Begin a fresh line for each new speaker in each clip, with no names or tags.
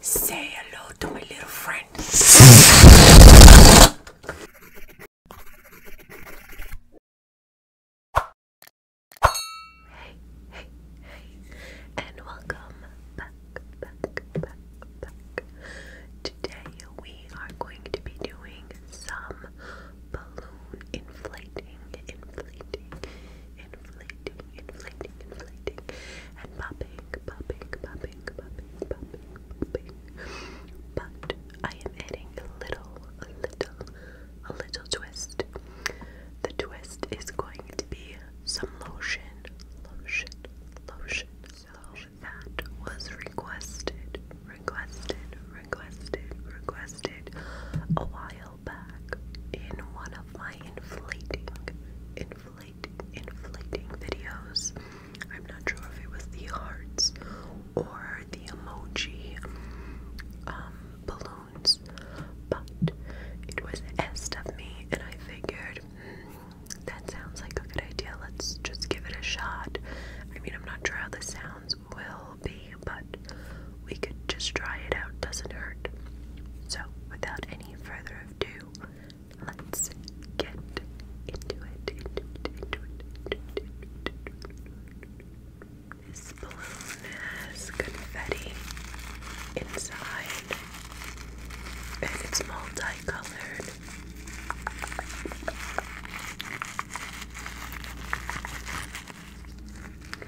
Say hello to my little friend. Hey, hey, hey, and welcome back, Today we are going to be doing some balloon inflating, inflating, inflating inflating, inflating, inflating, and popping, popping, popping, popping, popping, popping. But I am adding a little, a little, a little twist. The twist is going to be some lotion, lotion, lotion. So that was requested, requested, requested, requested a while back in one of my inflating, inflating, inflating videos. I'm not sure if it was the hearts or the emoji um, balloons, but it was asked of me, and I figured hmm, that sounds like a good idea. Let's just give it a shot. I mean, I'm not sure how the sounds will be, but we could just try it out, doesn't hurt. So, without any further ado, let's get into it. Into This balloon has confetti inside, and it's multicolored.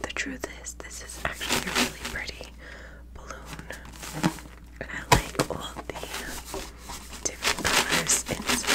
The truth is, this is actually a really pretty balloon. I like all the different colors inside.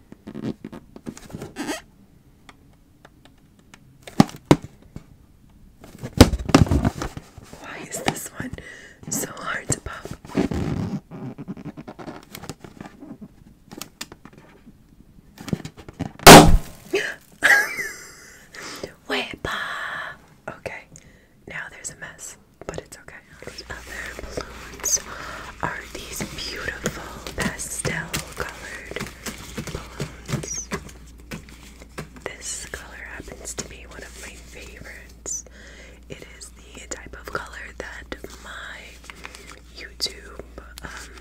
Why is this one so hard to pop? Wepa! Okay, now there's a mess, but it's okay the other balloons are these beautiful pastel colored balloons. This color happens to be one of my favorites. It is the type of color that my YouTube, um,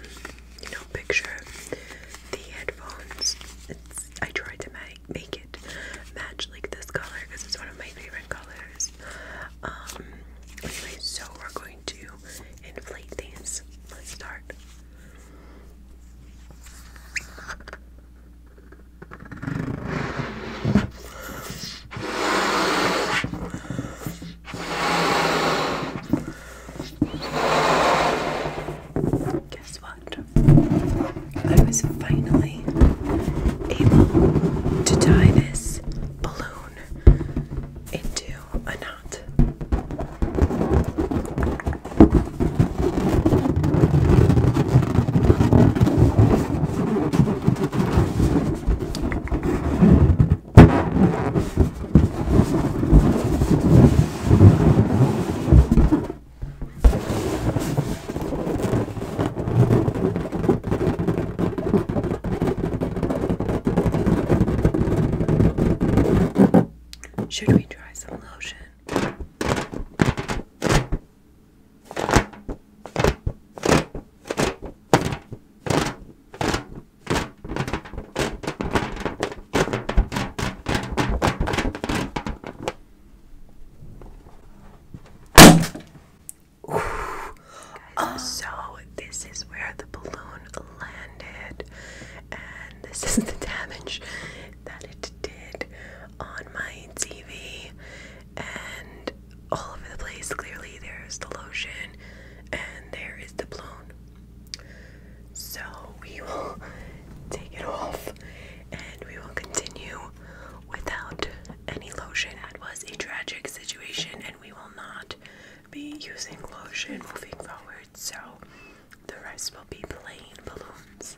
you know, picture the headphones. I tried to make, make it match like this color because it's one of my favorite colors. Um, so we're going to inflate these. Let's start. Guess what? I was finally able to tie this balloon into a knot. Should we try some lotion? Oh. So this is where the balloon landed, and this is the damage that it did on my TV, and all over the place. Clearly, there's the lotion, and there is the balloon. So we will take it off, and we will continue without any lotion. That was a tragic situation, and we will not be using lotion moving forward, so the rest will be plain balloons.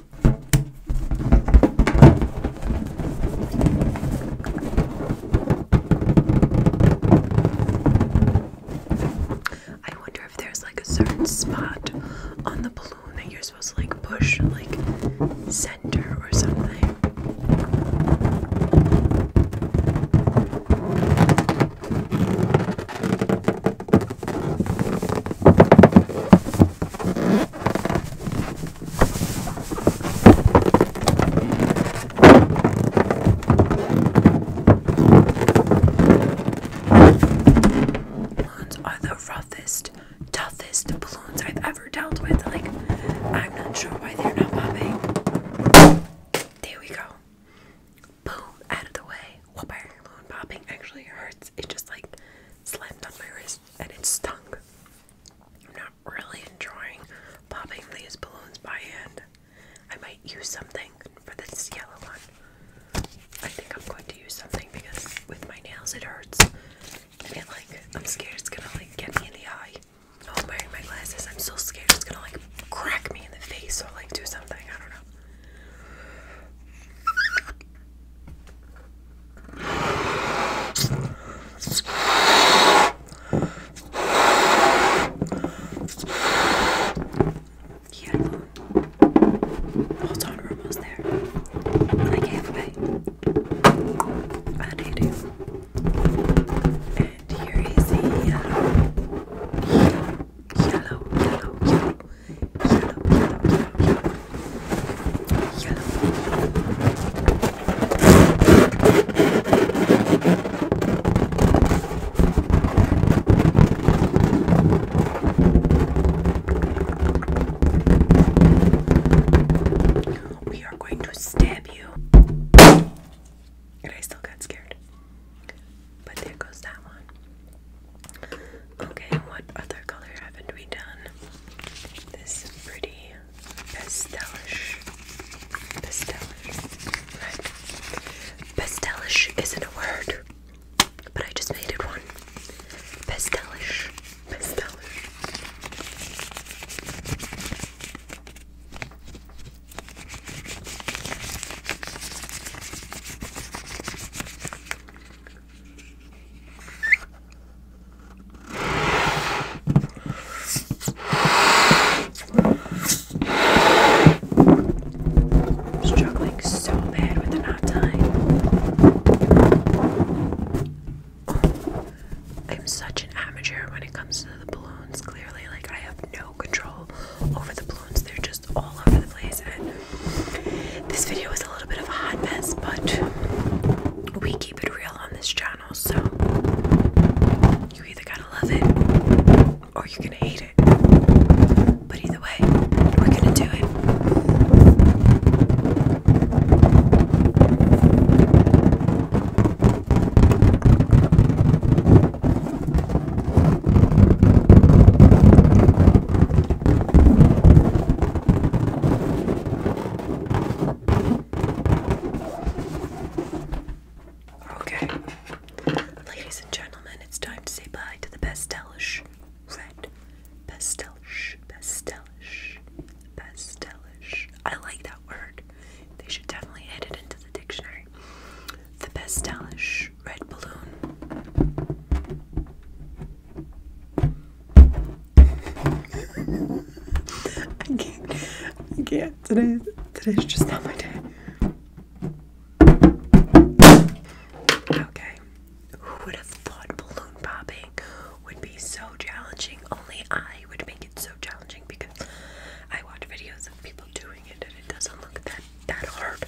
I wonder if there's like a certain spot on the balloon that you're supposed to like push, like center or something. Balloons are the roughest, toughest balloons I've ever dealt with. Like, I'm not sure why they're not popping. There we go. Boom, out of the way whooper balloon popping actually hurts. It just like slammed on my wrist and it stung. I'm not really enjoying popping these balloons by hand. I might use something for this yellow one. I think I'm going to use something because with my nails it hurts. And it like I'm scared it's gonna like get me in the eye. Oh, I'm wearing my glasses. I'm so scared it's gonna like crack me in the face So like do something. I don't know. Yeah, hold on, we're almost there. Like halfway. I need you. And here is the uh, yellow, yellow, yellow, yellow, yellow, yellow, yellow. We are going to stab you. And I still got scared. But there goes that one. Okay, what other color haven't we done? This pretty pastelish. Pastelish. Pastelish isn't a word, but I just made it one. Pastelish. Pastelish. I'm struggling so bad with the knot tie. I'm such an amateur when it comes to the balloons, clearly. Like, I have no control over the balloons. They're just all over the place. And this video is a little bit of a hot mess, but we keep it real on this channel. So you either gotta love it or you're gonna hate it. But either way, we're gonna do it. Okay, ladies and gentlemen, it's time to say bye to the pastelish red, pastelish, pastelish, pastelish. I like that word. They should definitely add it into the dictionary. The pastelish red balloon. I can't. I can't. Today, today's just not my day. Okay. Who would have thought balloon popping would be so challenging? Only I would make it so challenging because I watch videos of people doing it and it doesn't look that that hard.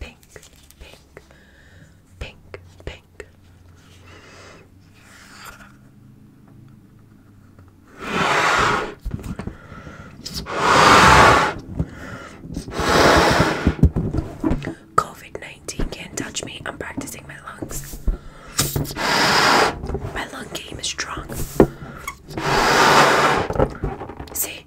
Pink, pink, pink, pink. COVID 19 can't touch me. I'm practicing my lungs. My lung game is strong. See?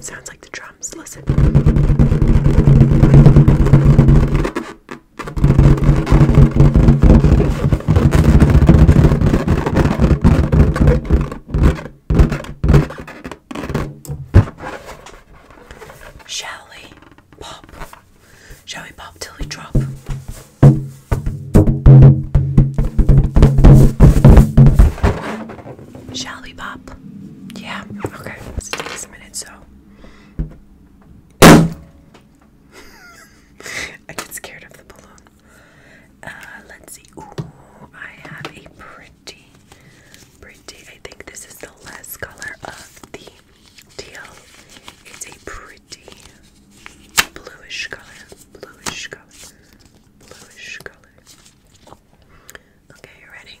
Sounds like the drums. Listen. Shall we? pop. Shall we pop till we drop? Shall we pop? Yeah, okay. It takes a minute, so. I get scared of the balloon. Uh, let's see. Ooh, I have a pretty, pretty. I think this is the last color of the teal. It's a pretty bluish color, bluish color, bluish color. Okay, you ready?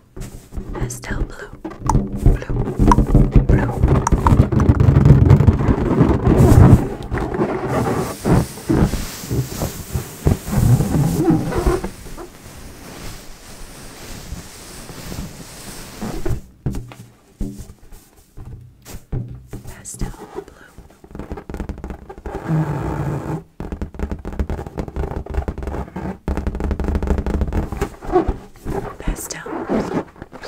Pastel blue. Blue. Blue. Pastel blue. Pastel. So, so. I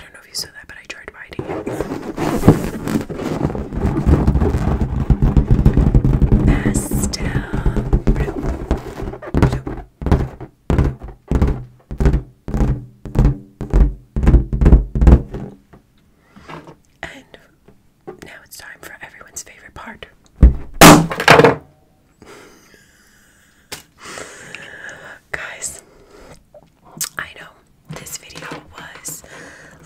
don't know if you saw that, but I tried writing it. Pastel. Blue. Blue. Blue. And now it's time for everyone's favorite part. Guys, I know this video was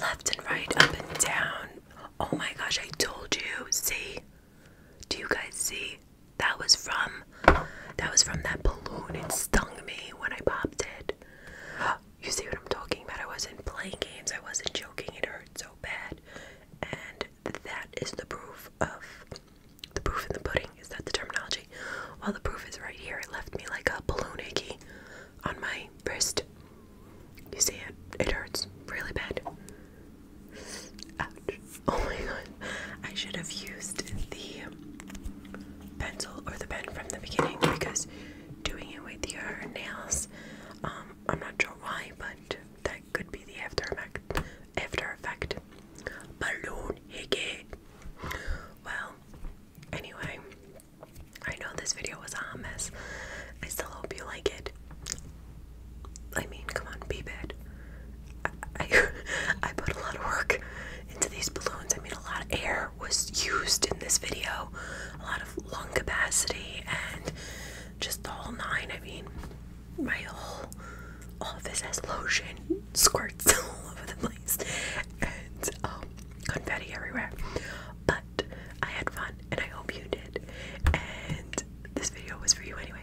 left and right, up and down. Oh my gosh, I told you. See? Do you guys see? That was from that was from that balloon. It stung me when I popped it. You see what I'm talking about? I wasn't playing games. I wasn't joking. It hurt so bad. And that is the proof of the proof in the pudding. Is that the terminology? Well, the proof is right here. It left me like a balloon icky on my wrist. You see it? It hurts really bad. Oh my god. I should have used the pencil or the pen from the beginning because doing it with your nails, um, I'm not sure why, but that could be the after effect. After effect. Balloon hickey. Well, anyway, I know this video was a mess. I still hope you like it. I mean, come on, be bad. I, I, put a lot of work into these balloons. I mean, a lot of air was used in this video, a lot of lung capacity, and just the whole nine. I mean, my whole office has lotion squirts all over the place, and um, confetti everywhere. But I had fun, and I hope you did. And this video was for you anyway